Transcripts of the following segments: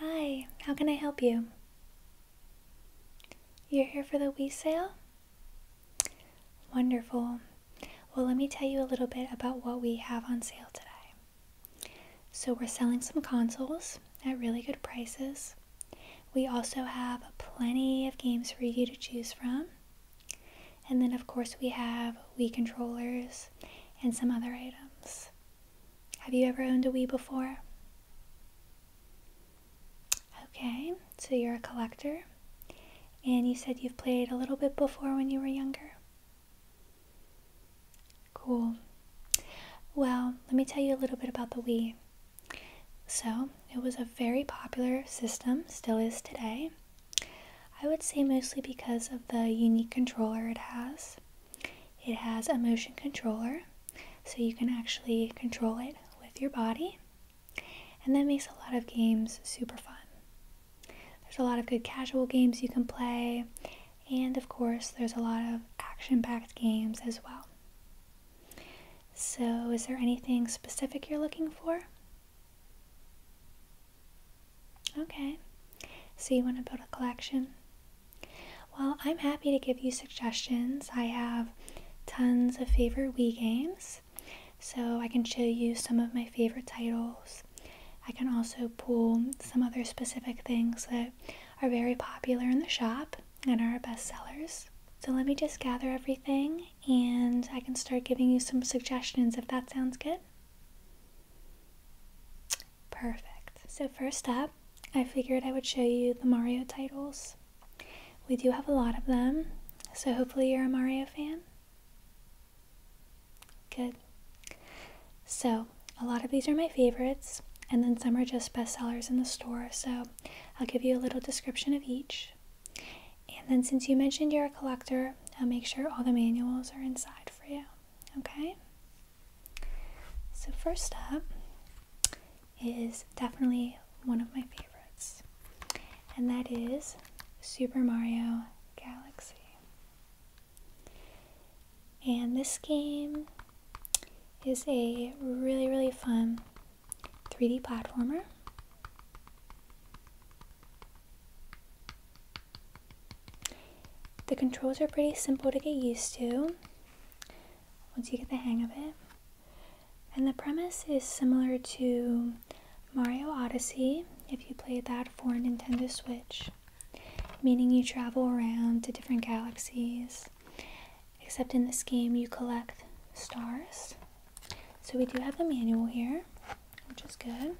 Hi, how can I help you? You're here for the wee sale? Wonderful. Well, let me tell you a little bit about what we have on sale today. So, we're selling some consoles at really good prices. We also have plenty of games for you to choose from. And then, of course, we have Wii controllers and some other items. Have you ever owned a Wii before? Okay, so you're a collector, and you said you've played a little bit before when you were younger. Cool. Well, let me tell you a little bit about the Wii. So, it was a very popular system, still is today. I would say mostly because of the unique controller it has. It has a motion controller, so you can actually control it with your body, and that makes a lot of games super fun. There's a lot of good casual games you can play, and of course, there's a lot of action packed games as well. So, is there anything specific you're looking for? Okay, so you want to build a collection? Well, I'm happy to give you suggestions. I have tons of favorite Wii games, so I can show you some of my favorite titles. I can also pull some other specific things that are very popular in the shop and are best sellers. So let me just gather everything and I can start giving you some suggestions if that sounds good. Perfect. So first up, I figured I would show you the Mario titles. We do have a lot of them, so hopefully you're a Mario fan. Good. So, a lot of these are my favorites, and then some are just bestsellers in the store, so I'll give you a little description of each. And then since you mentioned you're a collector, I'll make sure all the manuals are inside for you. Okay? So first up is definitely one of my favorites. And that is Super Mario Galaxy. And this game is a really, really fun 3D platformer. The controls are pretty simple to get used to once you get the hang of it. And the premise is similar to Mario Odyssey if you played that for Nintendo Switch, meaning you travel around to different galaxies, except in this game you collect stars. So we do have a manual here, which is good.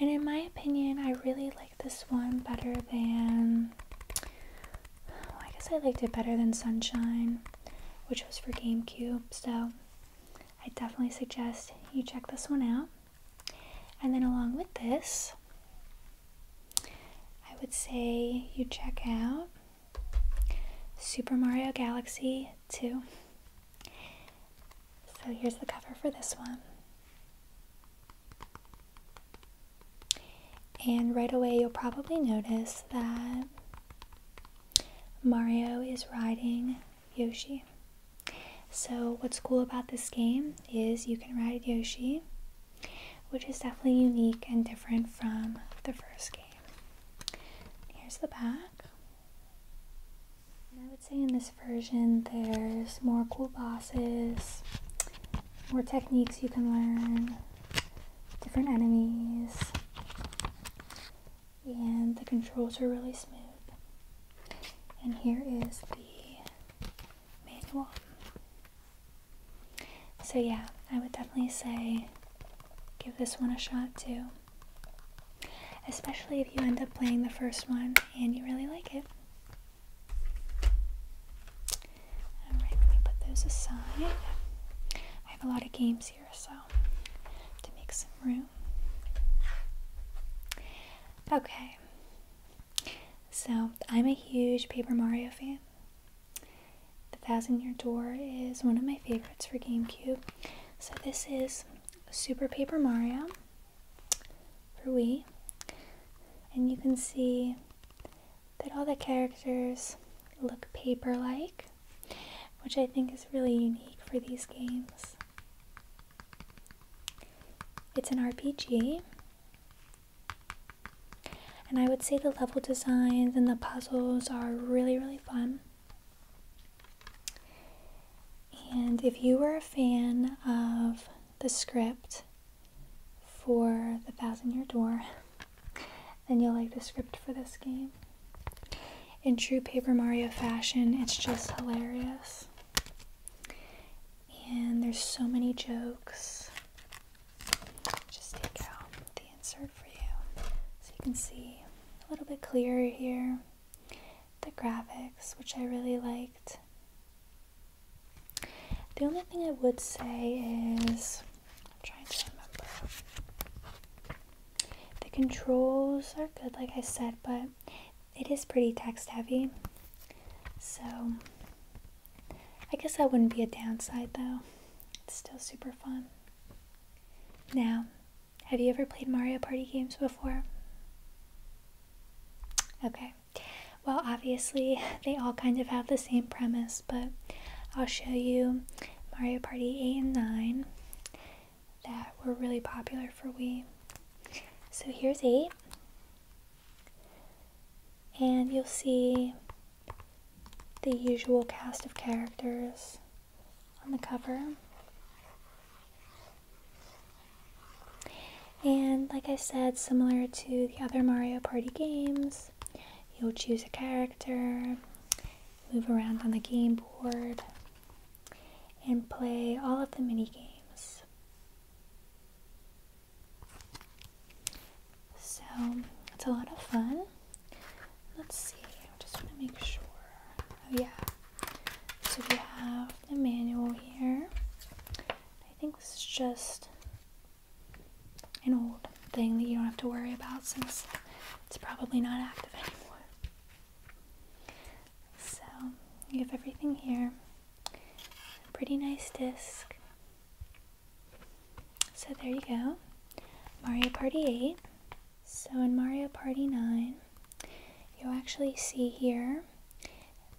And in my opinion, I really like this one better than, I guess I liked it better than Sunshine, which was for GameCube. So I definitely suggest you check this one out. And then along with this, I would say you check out Super Mario Galaxy 2. So here's the cover for this one. And right away, you'll probably notice that Mario is riding Yoshi. So, what's cool about this game is you can ride Yoshi, which is definitely unique and different from the first game. Here's the back. I would say in this version there's more cool bosses, more techniques you can learn, different enemies, and the controls are really smooth. And here is the manual. So yeah, I would definitely say give this one a shot too. Especially if you end up playing the first one and you really like it. Alright, let me put those aside. I have a lot of games here, so to make some room. Okay. So, I'm a huge Paper Mario fan. The Thousand Year Door is one of my favorites for GameCube. So, this is Super Paper Mario for Wii. And you can see that all the characters look paper like, which I think is really unique for these games. It's an RPG, and I would say the level designs and the puzzles are really, really fun. And if you were a fan of the script for The Thousand Year Door, then you'll like the script for this game. In true Paper Mario fashion, it's just hilarious. And there's so many jokes. Just take out the insert for you so you can see a little bit clearer here the graphics, which I really liked. The only thing I would say is I'm trying to remember. The controls are good, like I said, but it is pretty text heavy. So I guess that wouldn't be a downside though. It's still super fun. Now, have you ever played Mario Party games before? Okay. Well, obviously, they all kind of have the same premise, but I'll show you Mario Party 8 and 9 that were really popular for Wii. So here's 8. And you'll see the usual cast of characters on the cover. And like I said, similar to the other Mario Party games, you'll choose a character, move around on the game board, and play all of the mini games. So it's a lot of fun. Let's see, I just want to make sure. Oh, yeah. So we have the manual here. I think this is just an old thing that you don't have to worry about since it's probably not active anymore. So you have everything here. Pretty nice disc. So there you go. Mario Party 8. So in Mario Party 9, you'll actually see here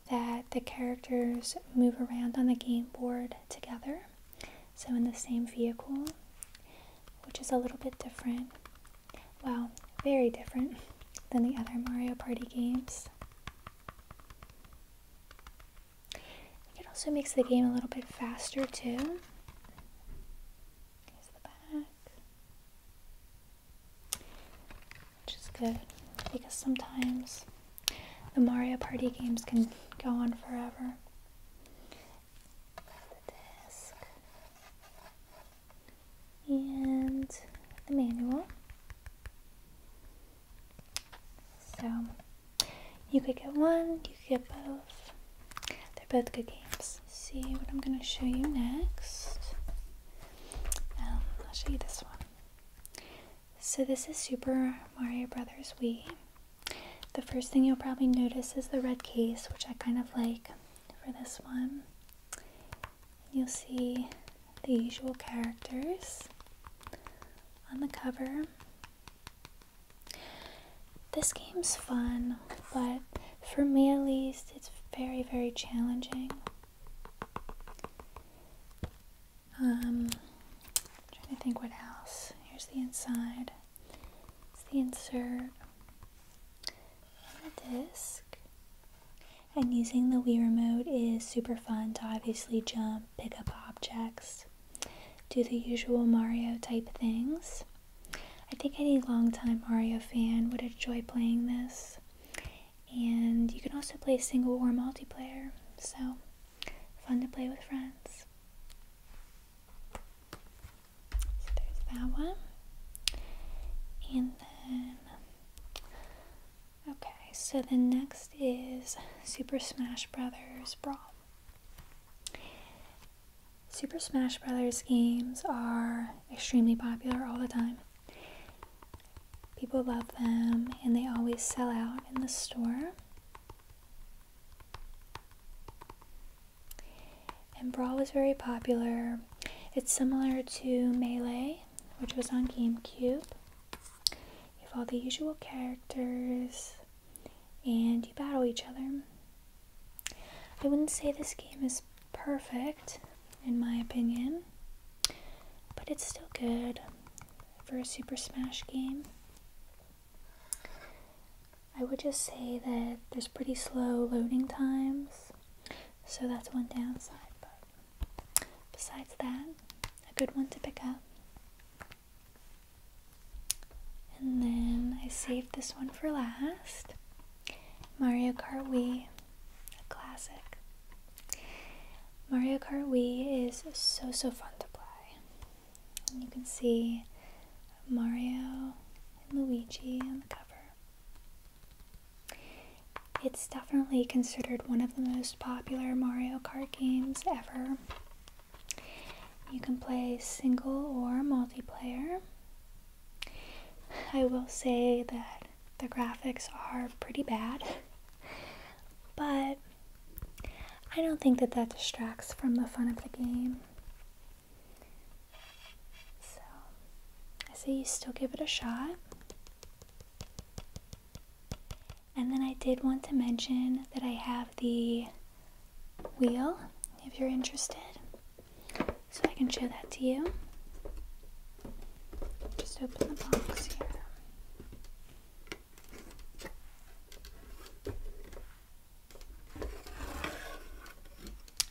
that the characters move around on the game board together, so in the same vehicle, which is a little bit different, well, very different than the other Mario Party games. It also makes the game a little bit faster too. Which is good because sometimes the Mario Party games can go on forever. The disc and the manual. So you could get one, you could get both. They're both good games. See what I'm going to show you next. Um, I'll show you this one. So this is Super Mario Brothers Wii. The first thing you'll probably notice is the red case, which I kind of like for this one. You'll see the usual characters on the cover this game's fun, but for me at least, it's very, very challenging. Um, trying to think what else. Here's the inside. It's the insert. And the disc. And using the Wii remote is super fun to obviously jump, pick up objects, do the usual Mario type things. I think any longtime Mario fan would enjoy playing this. And you can also play single or multiplayer, so fun to play with friends. So there's that one. And then, okay, so the next is Super Smash Brothers Brawl. Super Smash Bros. games are extremely popular all the time. People love them and they always sell out in the store. And Brawl is very popular. It's similar to Melee, which was on GameCube. You have all the usual characters and you battle each other. I wouldn't say this game is perfect, in my opinion, but it's still good for a Super Smash game. I would just say that there's pretty slow loading times, so that's one downside, but besides that, a good one to pick up. And then I saved this one for last Mario Kart Wii, a classic. Mario Kart Wii is so, so fun to play. you can see Mario and Luigi on the cover. It's definitely considered one of the most popular Mario Kart games ever. You can play single or multiplayer. I will say that the graphics are pretty bad, but I don't think that that distracts from the fun of the game. So I say you still give it a shot. And then I did want to mention that I have the wheel if you're interested. So I can show that to you. Just open the box here.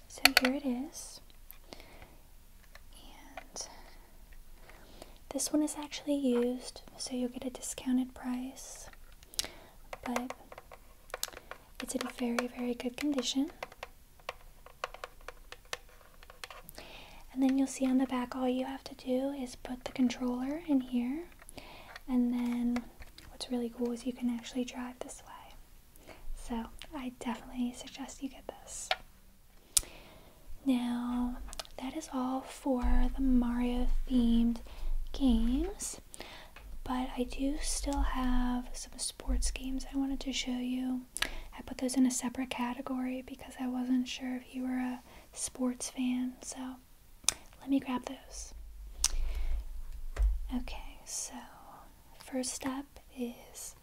So here it is. And this one is actually used, so you'll get a discounted price. But it's in very, very good condition. And then you'll see on the back, all you have to do is put the controller in here. And then what's really cool is you can actually drive this way. So I definitely suggest you get this. Now, that is all for the Mario themed games. But I do still have some sports games I wanted to show you. I put those in a separate category because I wasn't sure if you were a sports fan. So let me grab those. Okay, so first up is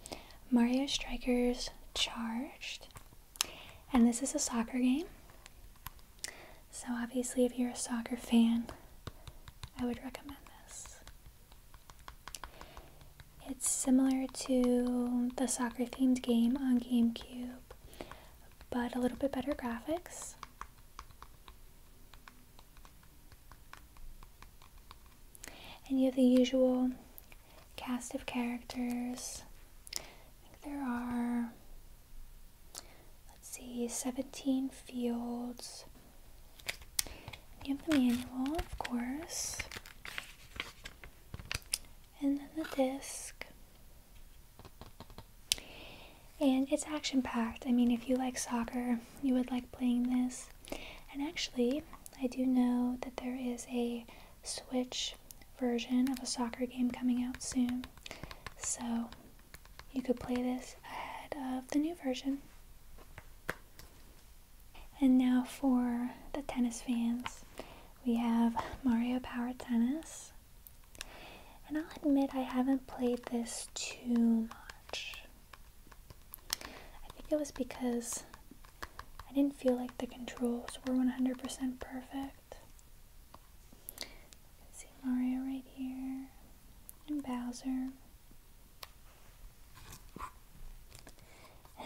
Mario Strikers Charged. And this is a soccer game. So, obviously, if you're a soccer fan, I would recommend this. It's similar to the soccer themed game on GameCube, but a little bit better graphics. And you have the usual cast of characters. I think there are let's see, 17 fields. You have the manual, of course, and then the disc. And it's action packed. I mean, if you like soccer, you would like playing this. And actually, I do know that there is a Switch version of a soccer game coming out soon. So you could play this ahead of the new version. And now for the tennis fans, we have Mario Power Tennis. And I'll admit I haven't played this too much. I think it was because I didn't feel like the controls were 100% perfect. You can see Mario right here and Bowser.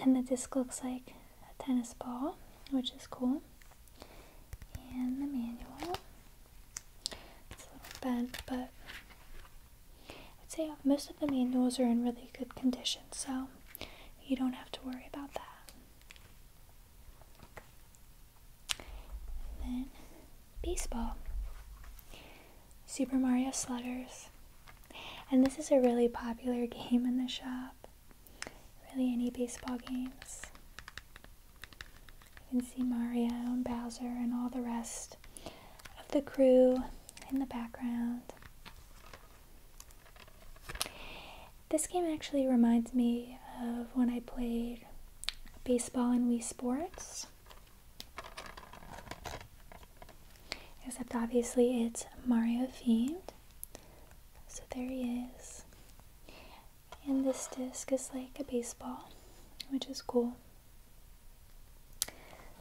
And the disc looks like a tennis ball, which is cool. And the manual. It's a little bent, but I'd say most of the manuals are in really good condition, so you don't have to worry about that baseball. Super Mario Sliders, And this is a really popular game in the shop. Really any baseball games. You can see Mario and Bowser and all the rest of the crew in the background. This game actually reminds me of when I played baseball and Wii Sports. Except obviously it's Mario themed. So there he is. And this disc is like a baseball, which is cool.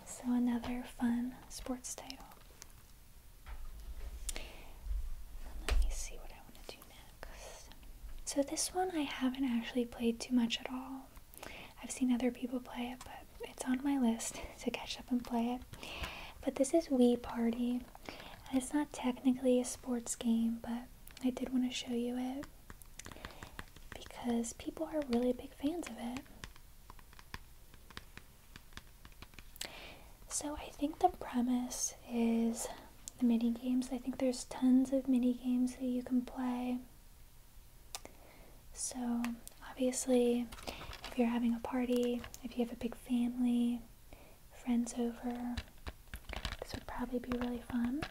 So another fun sports title. let me see what I want to do. So this one I haven't actually played too much at all. I've seen other people play it, but it's on my list to catch up and play it. But this is Wii Party. And it's not technically a sports game, but I did want to show you it because people are really big fans of it. So I think the premise is the mini games. I think there's tons of mini games that you can play. So, obviously, if you're having a party, if you have a big family, friends over, this would probably be really fun.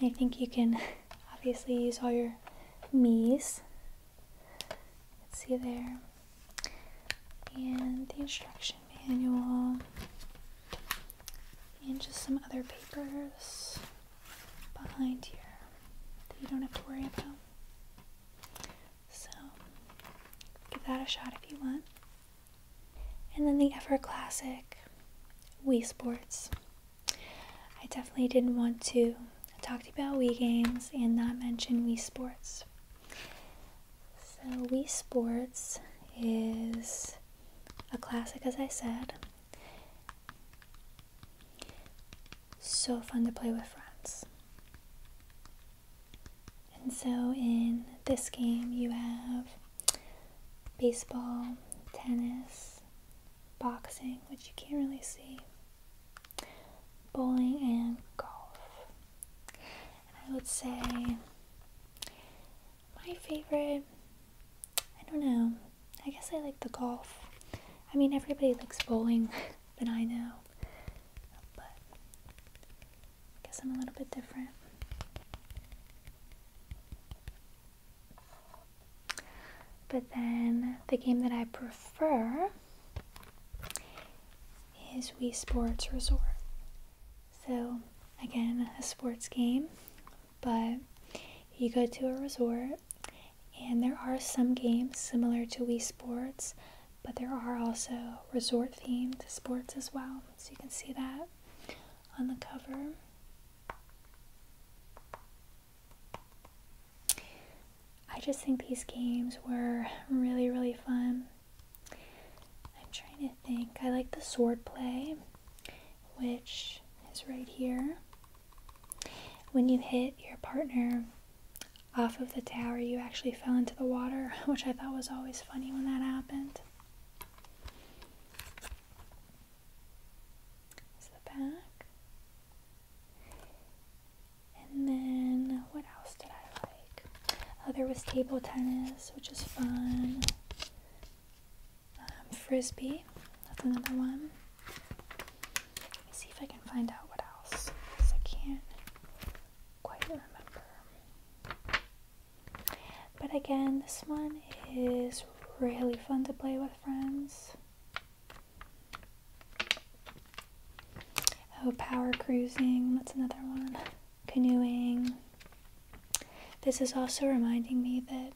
And I think you can obviously use all your me's. Let's see there and the instruction manual, and just some other papers behind here that you don't have to worry about. So, give that a shot if you want. And then the ever classic Wii Sports. I definitely didn't want to talk about Wii games and not mention Wii Sports. So, Wii Sports is a classic, as I said. So fun to play with friends. And so, in this game, you have baseball, tennis, boxing, which you can't really see, bowling, and golf. I would say my favorite, I don't know, I guess I like the golf. I mean, everybody likes bowling but I know, but I guess I'm a little bit different. But then the game that I prefer is Wii Sports Resort. So, again, a sports game, but you go to a resort, and there are some games similar to Wii Sports, but there are also resort themed sports as well. So, you can see that on the cover. I just think these games were really, really fun. I'm trying to think. I like the sword play, which is right here. When you hit your partner off of the tower, you actually fell into the water, which I thought was always funny when that happened. Is the back. And then what else did I like? Uh, there was table tennis, which is fun. Um, frisbee, that's another one. Let me see if I can find out what else, because I can't quite remember. But again, this one is really fun to play with friends. Oh, power cruising, that's another one canoeing. This is also reminding me that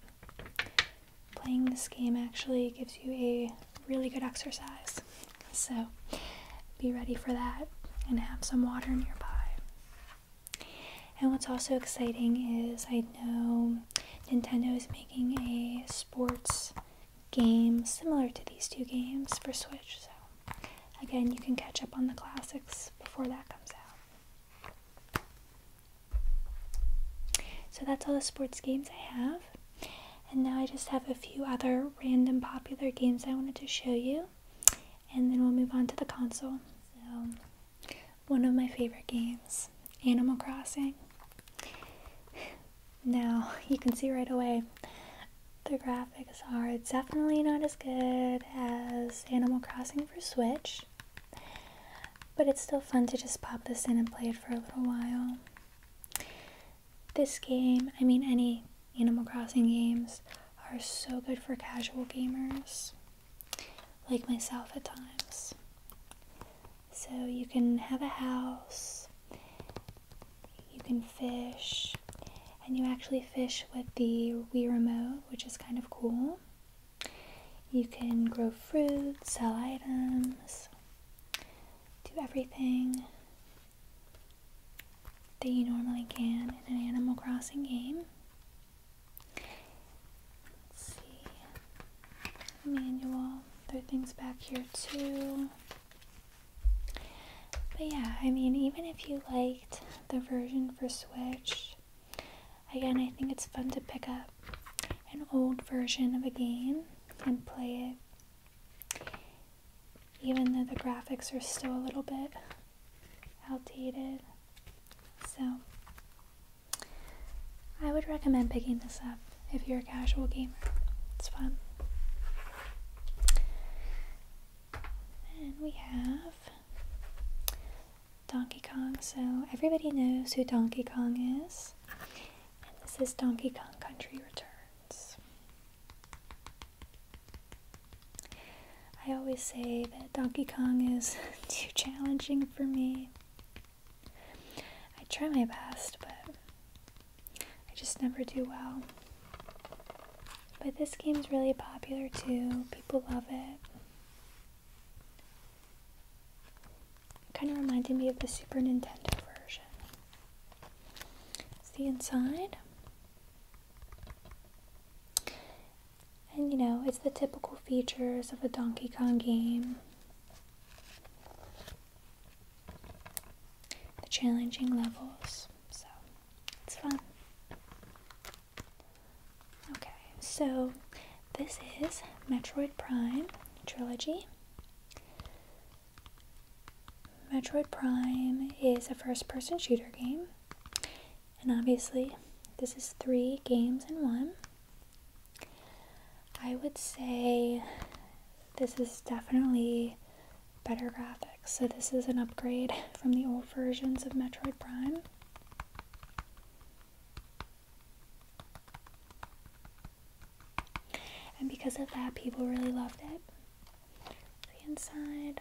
playing this game actually gives you a really good exercise. So be ready for that and have some water nearby. And what's also exciting is I know Nintendo is making a sports game similar to these two games for Switch, so Again, you can catch up on the classics before that comes out. So that's all the sports games I have. And now I just have a few other random popular games I wanted to show you. And then we'll move on to the console. So, one of my favorite games, Animal Crossing. Now, you can see right away, the graphics are definitely not as good as Animal Crossing for Switch, but it's still fun to just pop this in and play it for a little while. This game, I mean, any Animal Crossing games, are so good for casual gamers like myself at times. So you can have a house you can fish, and you actually fish with the Wii remote, which is kind of cool. You can grow fruit, sell items, do everything that you normally can in an Animal Crossing game. Let's see, manual. There are things back here too. But yeah, I mean, even if you liked the version for Switch, again, I think it's fun to pick up an old version of a game and play it, even though the graphics are still a little bit outdated. So, I would recommend picking this up if you're a casual gamer. It's fun. And we have Donkey Kong. So everybody knows who Donkey Kong is. And this is Donkey Kong Country Returns. I always say that Donkey Kong is too challenging for me. I try my best, but I just never do well. But this game's really popular too. People love it. kind of reminded me of the Super Nintendo version. It's the inside. And you know, it's the typical features of a Donkey Kong game. The challenging levels. So it's fun. Okay, so this is Metroid Prime Trilogy. Metroid Prime is a first person shooter game, and obviously, this is three games in one. I would say this is definitely better graphics. So this is an upgrade from the old versions of Metroid Prime. And because of that, people really loved it. The inside.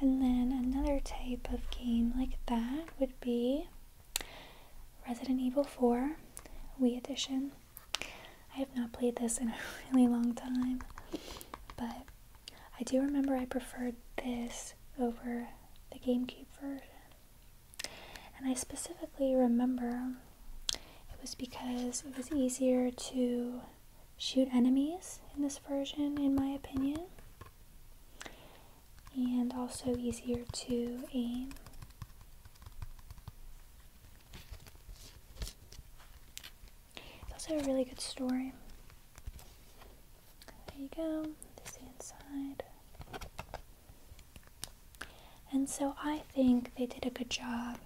And then another type of game like that would be Resident Evil 4 Wii Edition. I have not played this in a really long time, but I do remember I preferred this over the GameCube version. And I specifically remember it was because it was easier to shoot enemies in this version, in my opinion and also easier to aim. It's also a really good story. There you go, this the inside. And so I think they did a good job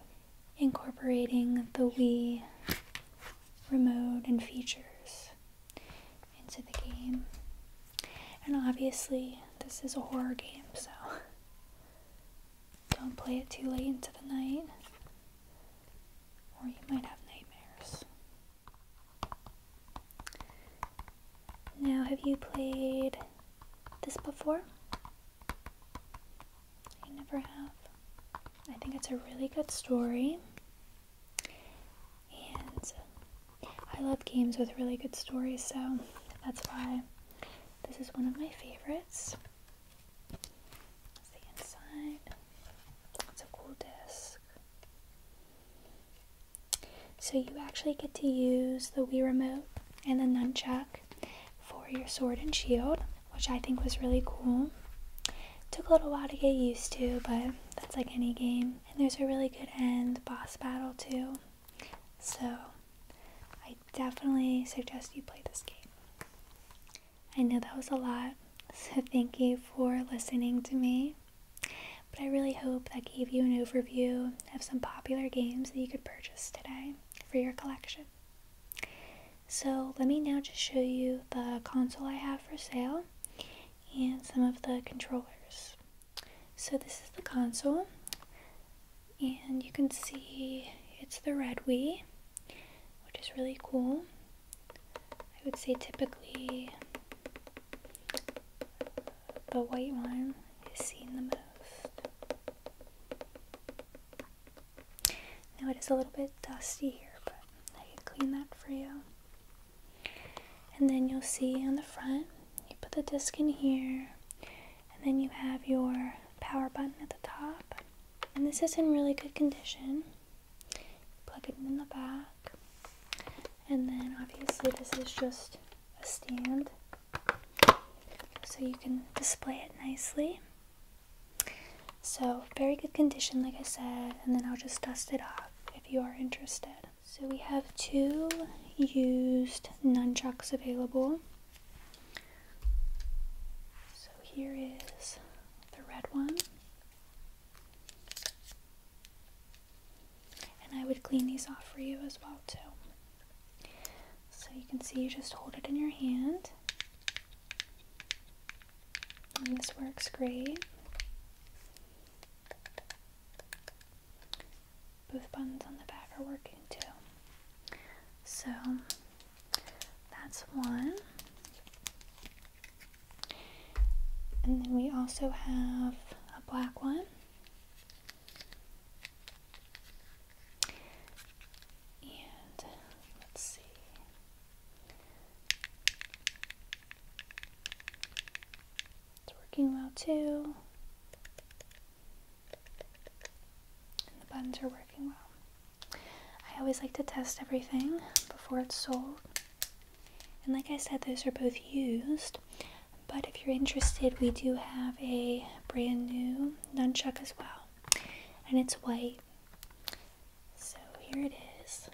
incorporating the Wii remote and features into the game. And obviously, this is a horror game, so don't play it too late into the night, or you might have nightmares. Now, have you played this before? I never have. I think it's a really good story. And I love games with really good stories, so that's why this is one of my favorites. That's the inside. It's a cool disc. So you actually get to use the Wii Remote and the Nunchuck for your sword and shield, which I think was really cool. Took a little while to get used to, but that's like any game and there's a really good end boss battle too. So I definitely suggest you play this game. I know that was a lot, so thank you for listening to me. But I really hope that gave you an overview of some popular games that you could purchase today for your collection. So let me now just show you the console I have for sale and some of the controllers. So this is the console, and you can see it's the Red Wii, which is really cool. I would say typically the white one is seen the most. Now it is a little bit dusty here, but I can clean that for you. And then you'll see on the front, you put the disc in here, and then you have your power button at the top. And this is in really good condition. Plug it in the back. And then obviously this is just a stand. So you can display it nicely. So very good condition like I said. And then I'll just dust it off if you are interested. So we have two used nunchucks available. So here is the red one. And I would clean these off for you as well too. So you can see you just hold it in your hand. And this works great. Both buttons on the back are working too. So that's one. And then we also have a black one. And let's see. It's working well too. And the buttons are working well. I always like to test everything before it's sold. And like I said, those are both used. But if you're interested, we do have a brand new nunchuck as well. And it's white. So here it is.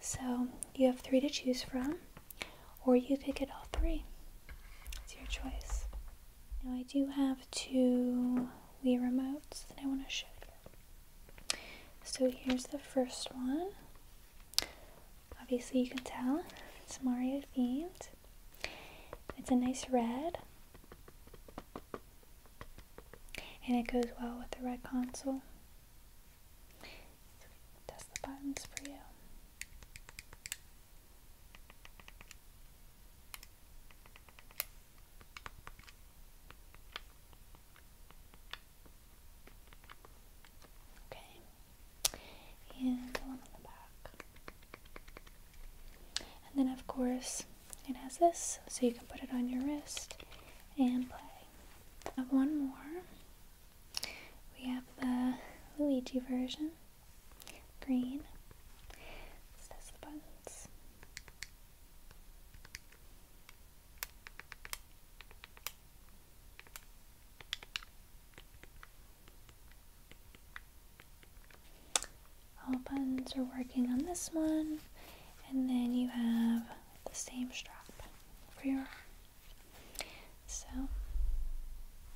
So you have three to choose from, or you could get all three. It's your choice. Now I do have two Wii remotes that I want to show you. So here's the first one. Obviously you can tell it's Mario themed. It's a nice red and it goes well with the red console. So the buttons for you. Okay, and the one on the back. And then, of course, it has this, so you can put it on your wrist and play. I have one more. We have the Luigi version, green. Let's test the buttons all buttons are working on this one and then you have the same strap for your arm. So,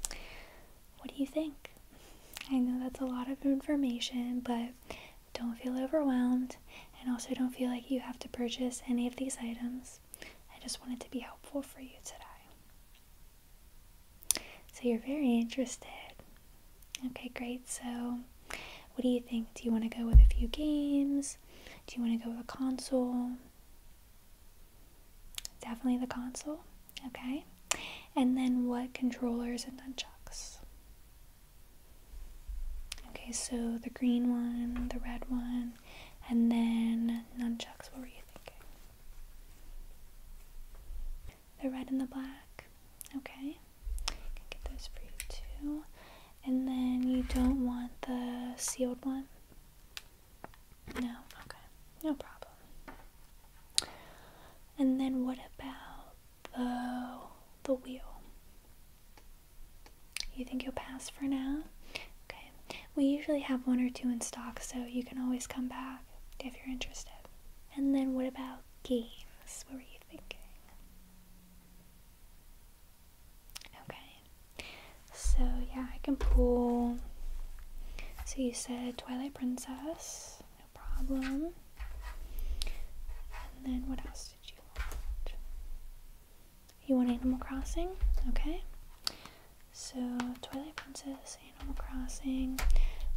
what do you think? I know that's a lot of information, but don't feel overwhelmed and also don't feel like you have to purchase any of these items. I just wanted to be helpful for you today. So, you're very interested Okay, great. So, what do you think? Do you want to go with a few games? Do you want to go with a console? Definitely the console. Okay. And then what controllers and nunchucks? Okay, so the green one, the red one, and then nunchucks. What were you thinking? the red and the black. Okay, can get those for you too. And then you don't want the sealed one? No? Okay, no problem. And then what about the, the wheel? You think you'll pass for now? Okay, we usually have one or two in stock, so you can always come back if you're interested. And then what about games? What were you Okay, so yeah, I can pull. So you said Twilight Princess, no problem. And then what else did you want? You want Animal Crossing? Okay. So Twilight Princess, Animal Crossing.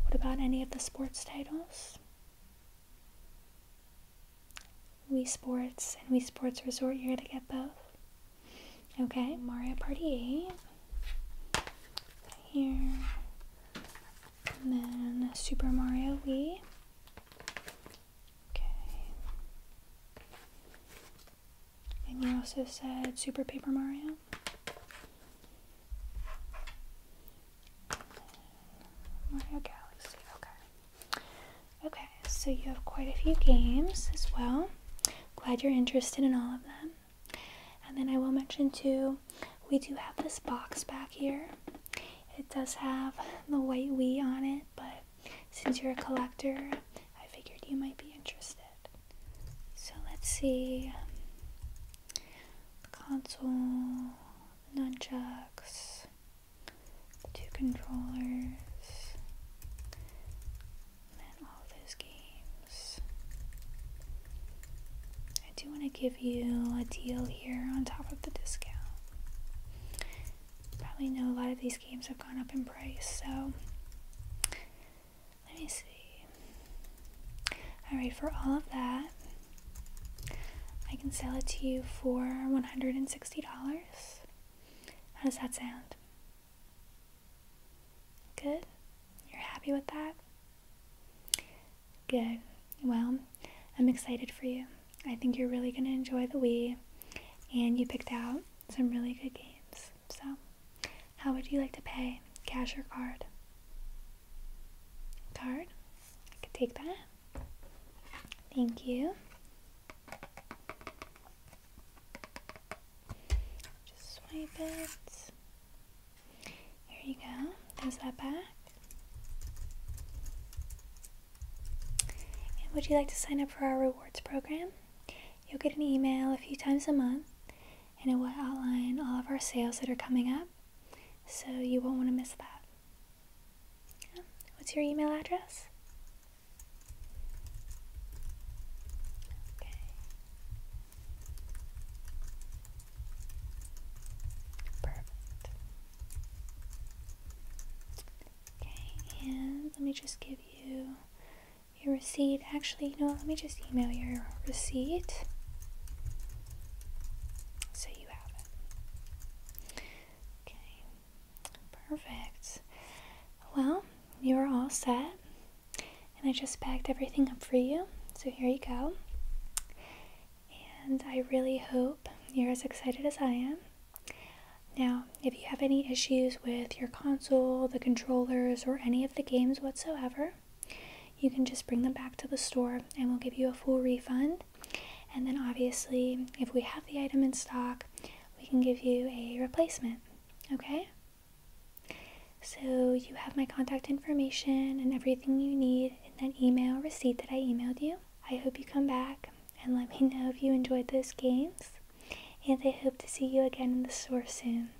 What about any of the sports titles? Wii Sports and Wii Sports Resort. You're gonna get both. Okay, Mario Party 8. Here. And then Super Mario Wii. Okay. And you also said Super Paper Mario. Mario Galaxy, okay. Okay, so you have quite a few games as well. Glad you're interested in all of them. And then I will mention too, we do have this box back here. It does have the white Wii on it, but since you're a collector, I figured you might be interested. So let's see. Console nunchucks, two controllers, and all those games. I do want to give you a deal here on top of the discount. Probably know a lot of these games have gone up in price, so let me see. All right, for all of that, I can sell it to you for $160. How does that sound? Good? You're happy with that? Good. Well, I'm excited for you. I think you're really going to enjoy the Wii, and you picked out some really good games. So, how would you like to pay? Cash or card? Card? I could take that. Thank you. Just swipe it. There you go. There's that back. And would you like to sign up for our rewards program? You'll get an email a few times a month and it will outline all of our sales that are coming up. So you won't want to miss that. What's your email address? Okay. Perfect. Okay, and let me just give you your receipt. Actually, no. let me just email your receipt. So you have it. Okay, perfect. Well, you're all set. And I just packed everything up for you. So here you go. And I really hope you're as excited as I am. Now, if you have any issues with your console, the controllers, or any of the games whatsoever, you can just bring them back to the store and we'll give you a full refund. And then, obviously, if we have the item in stock, we can give you a replacement. Okay? So, you have my contact information and everything you need in that email receipt that I emailed you. I hope you come back and let me know if you enjoyed those games. And I hope to see you again in the store soon.